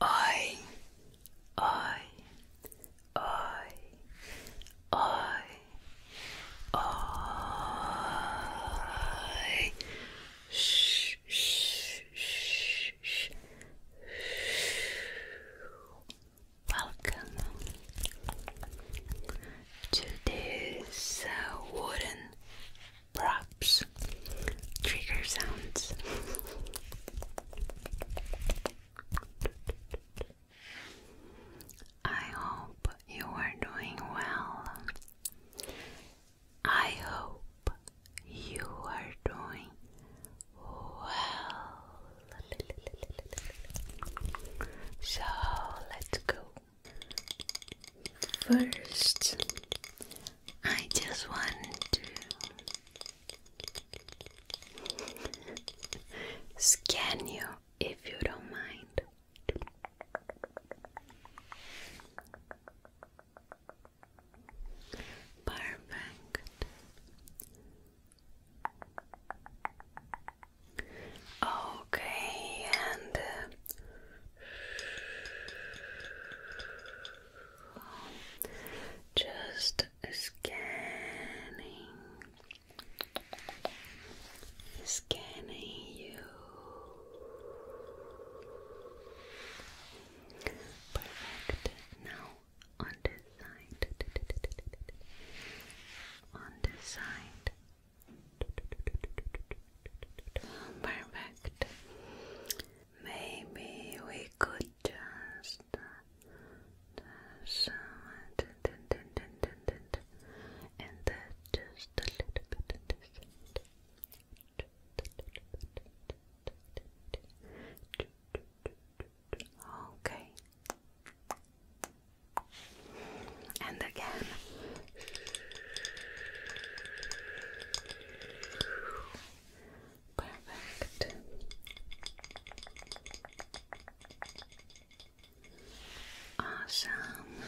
I, I, I, I, I. Shh, shh, shh, shh. Welcome to this uh, wooden brush drops, trigger sounds. I hope you are doing well. I hope you are doing well. So let's go. First, I just want to Scan you if you don't mind. Perfect. Okay, and uh, just scanning, scanning you. Perfect. Now on this side, on this side. Perfect. Maybe we could just and then just a little bit Okay. And again. Perfect. Awesome. okay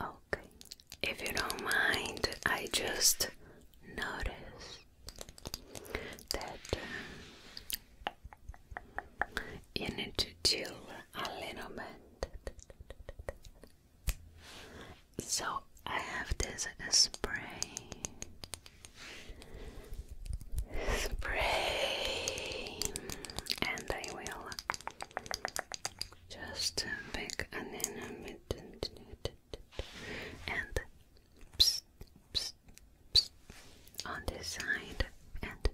okay. If you don't mind, I just noticed that uh, you need to chill a little bit. So I have this spray. Spray, and I will just pick a little and on this side and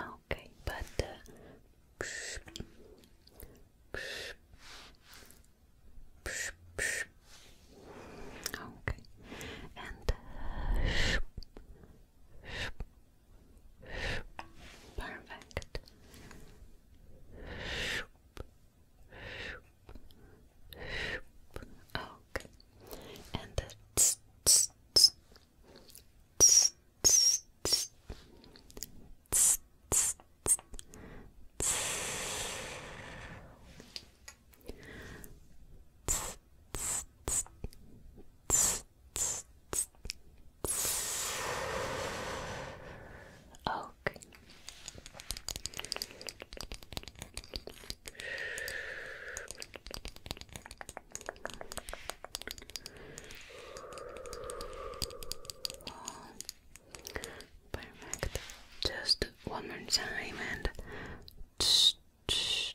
Okay, but uh, Okay. And perfect. Okay. And the tss, tss, tss, tss, tss, tss, tss, tss, tss. Tss, tss, tss, tss, tss, tss, tss. Okay. Perfect. Just one more time and. Perfect.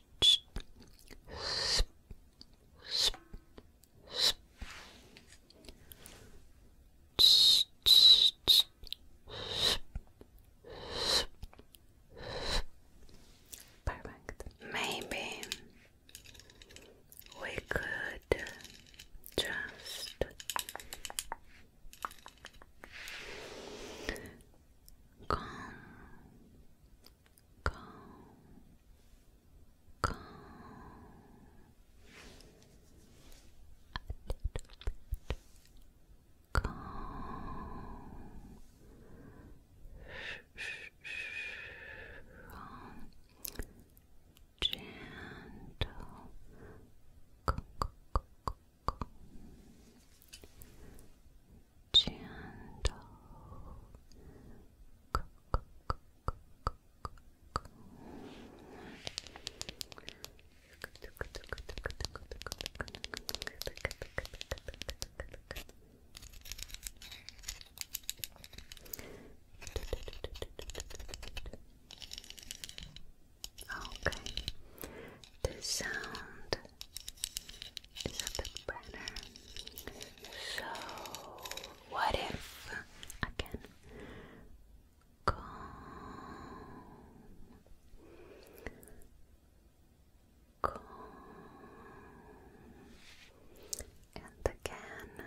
Maybe we could just calm, calm, calm a little bit. Calm. Calm gentle gentle Okay, the sound is a bit better. So, what if again? Calm. Calm. And again,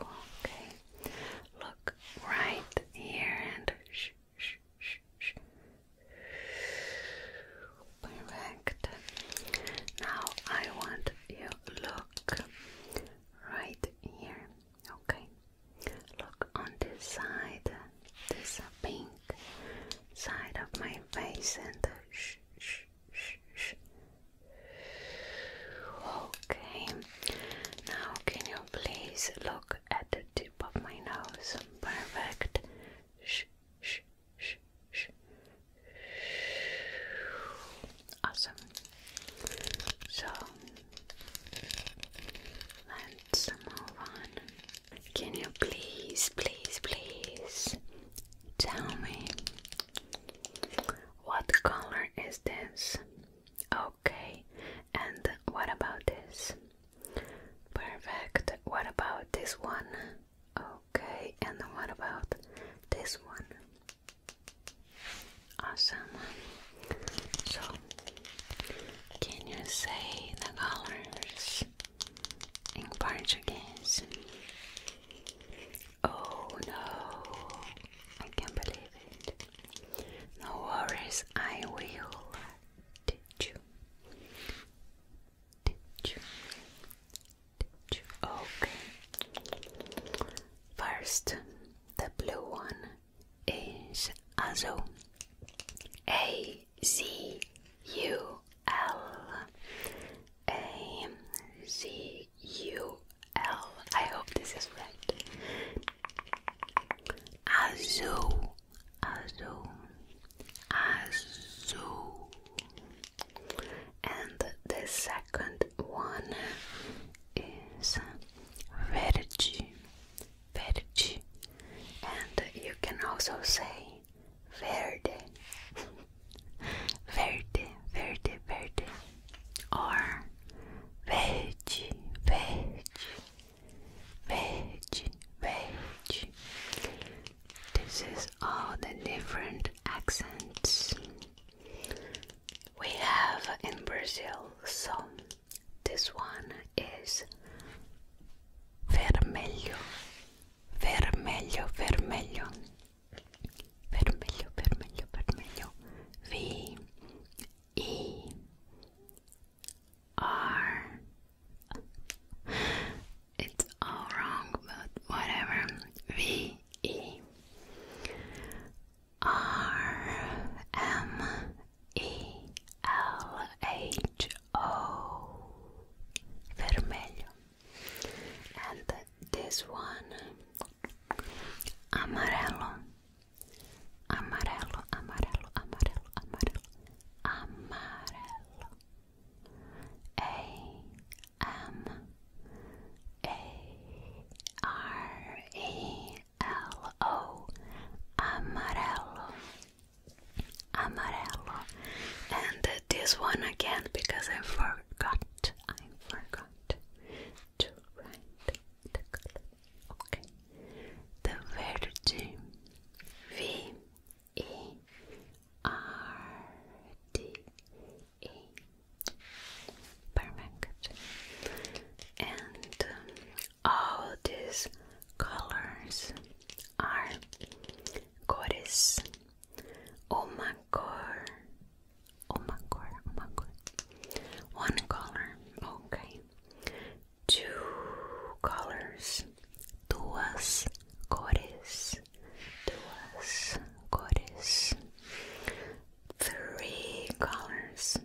Okay. Look right here and shh, shh, shh, shh. Perfect. Now I want you look right here. Okay. Look on this side. This pink side of my face and shh, shh, shh, shh. Okay, now can you please look at the tip of my nose? Perfect. Shh, shh, shh, shh. Awesome. So let's move on. Can you please, please, please tell me what color is this? Okay, and what about this? Perfect. What about this one? Okay, and what about this one? Awesome. So, can you say the colors in Portuguese? Oh no, I can't believe it. No worries, I will teach you. Teach you. Teach you. Okay. First, the blue one is Azul. A Z U L. A Z U L. I hope this is right. Azul, azul, azul. And the second one is verde, verde. And you can also say verde verde, verde, verde, or verde, verde, verde, verde. This is all the different accents we have in Brazil. So this one is vermelho, vermelho, vermelho vermelho, vermelho, vermelho. V E R. It's all wrong, but whatever. V E R M E L H O. Vermelho, and this one amarelo amarelo amarelo amarelo amarelo amarelo a m a r e l o amarelo amarelo and this one again because I forgot to right. The column. Okay. The Verde. V E R D E. Perfect. And um, all these colors are cores. Uma cor Oh oh One color, okay. Two colors, duas cores, duas cores. Three colors,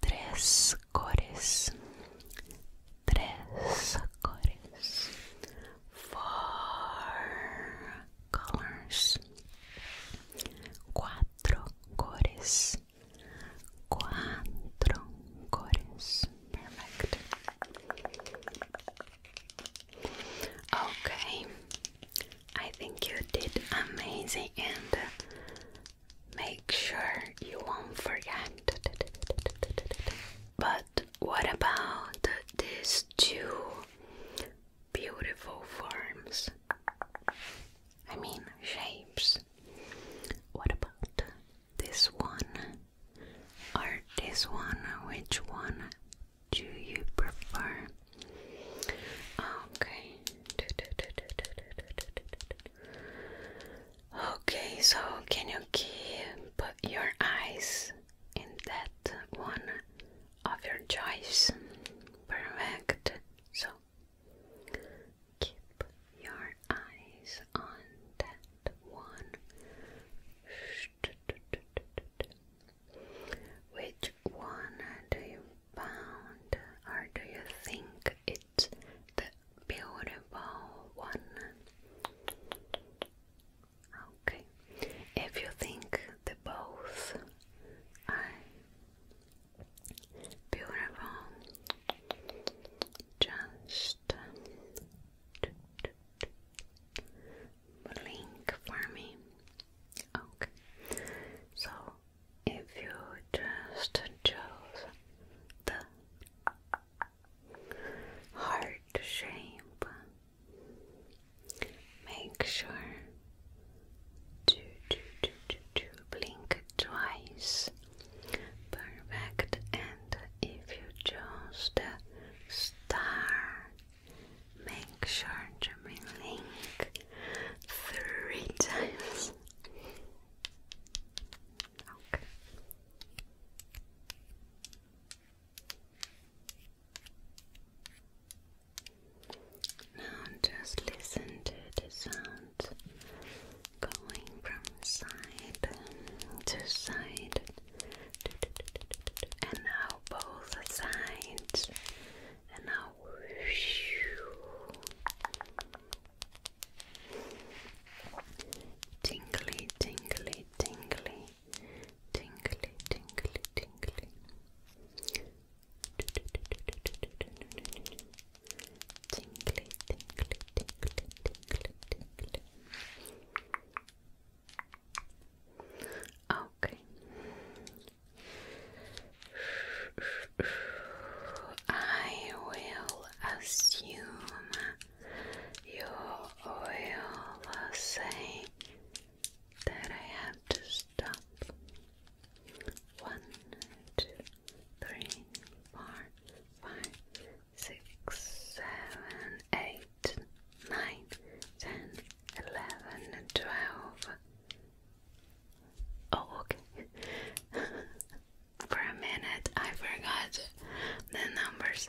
tres cores, tres cores. Four colors. Cuatro cores. Cuatro cores. Perfect. Okay. I think you did amazing and make sure you won't forget. But what about these two beautiful forms. I mean, shapes. What about this one or this one? Which one do you prefer? Okay. Okay, so can you keep your eyes in that one of your choice. Perfect. So keep your eyes on that one. Which one do you found, or do you think it's the beautiful one? Okay. If you think the both are beautiful, just blink for me. Okay. So if you just chose the heart shape Make sure to, to, to, to, to blink twice. Perfect. And if you chose uh, the star, make sure to blink three times. Okay. Now just listen to the sound going from side to side, and now both sides, and now. Tingly, tingly, tingly tingly, tingly, tingly. Tingly, tingly, tingly, tingly, tingly. Okay. I will assume your oil was saying that I have to stop. One, two, three, four, five, six, seven, eight, nine, ten, eleven, and twelve. Oh, okay. For a minute, I forgot the numbers.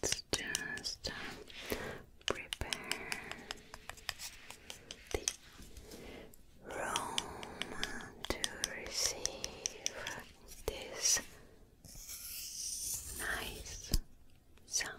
let's just um, prepare the room to receive this nice sound.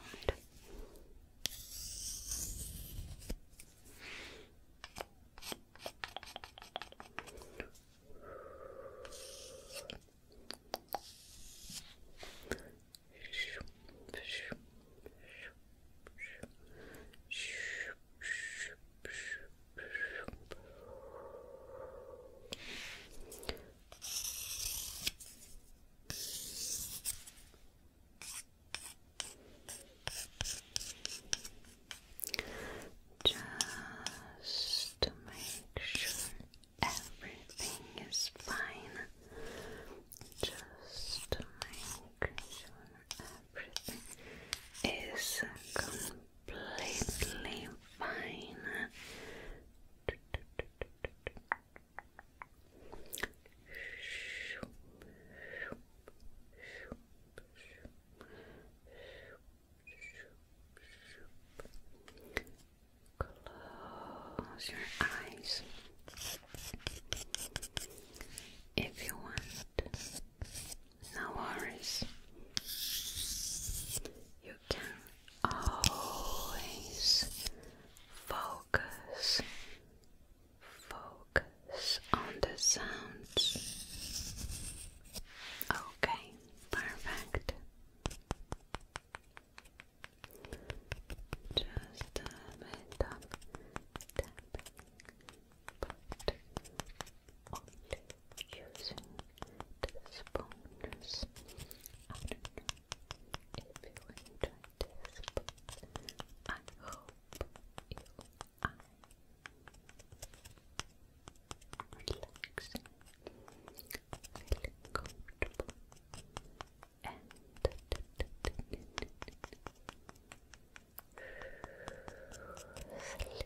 Just to make sure everything is fine. Just make sure everything is completely fine. Close your eyes if you want. No worries. You can always focus, focus on the sounds. Okay, perfect. Just a bit of tapping, using the if you enjoyed this, I hope you I relaxing, feeling comfortable, and sleep. Good.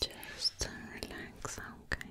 Just uh, relax, okay.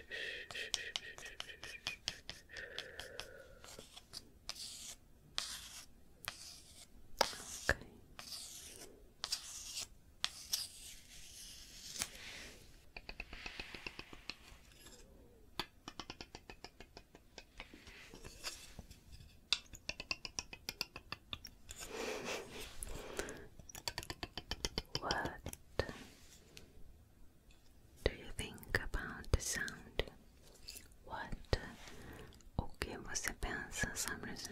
Okay. What do you think about the sound? What? Okay, O que você Some reason.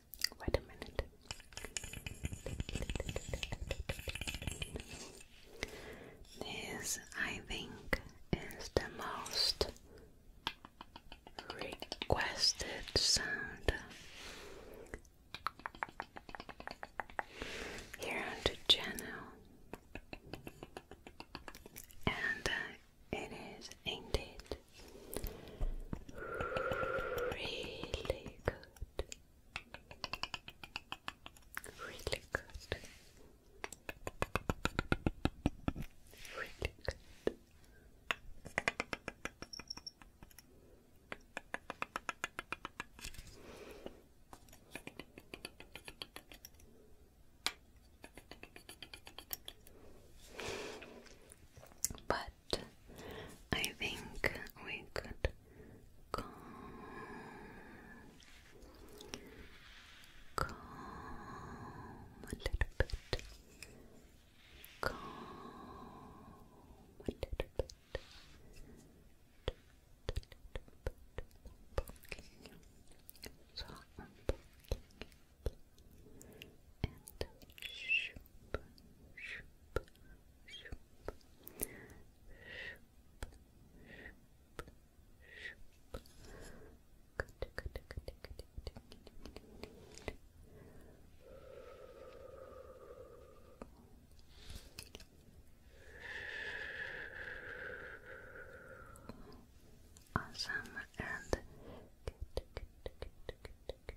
Wait a minute. This, I think, is the most requested sound here on the channel, and uh, it is indeed Really good. Really good. Really good. But I think we could go. Calm a little bit. Calm a little bit and shoop, shoop, shoop, shoop, shoop, shoop. Good, good, good, good, good. Awesome and good, good, good, good, good.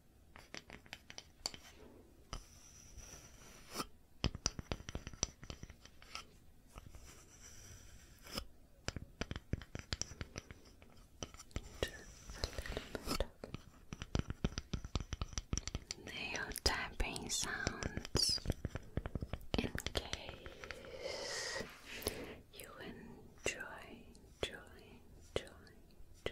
Nail tapping sounds in case you enjoy, joy, joy, joy,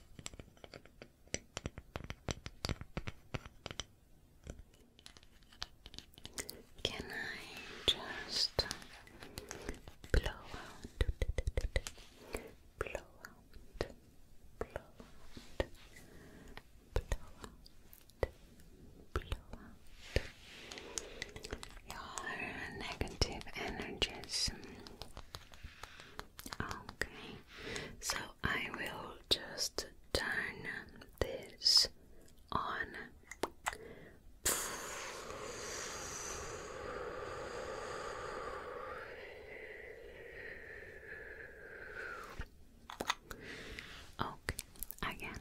Can I just blow out? Blow out, blow out, blow out, blow out your negative energies Okay, so I will just turn this on. Okay, again.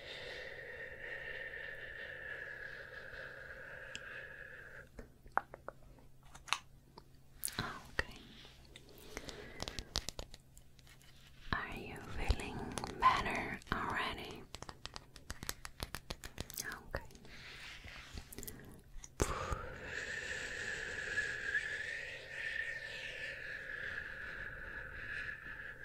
Okay. Are you feeling better already? Okay.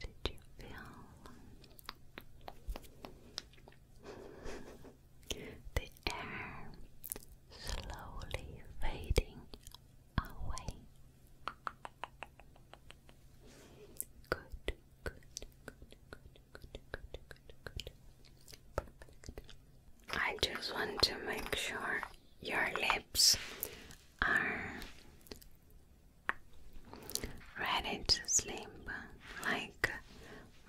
did you feel the air slowly fading away? Good, I just want to make sure your lips are ready to sleep like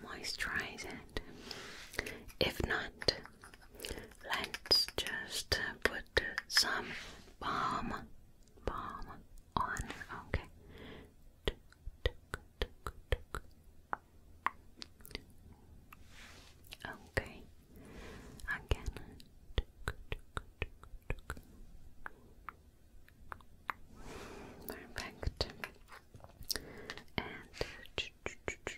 moisturize it. If not, let's just put some balm balm on. Okay. Okay. Again. Perfect. And Perfect.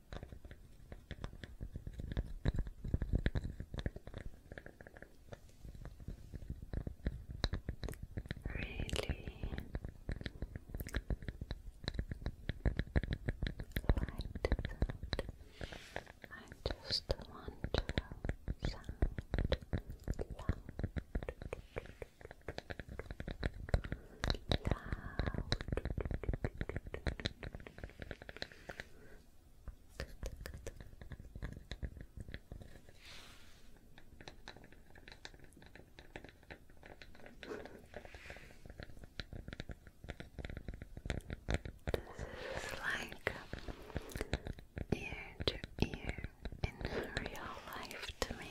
Really liked I just want to sound loud. This is like ear to ear in real life to me.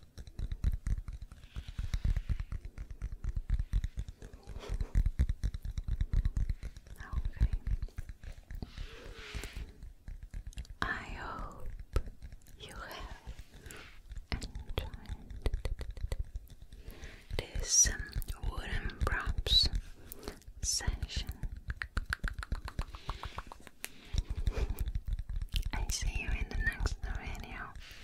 Oh, okay. I hope you have enjoyed this um, wooden props session. I see you in the next video.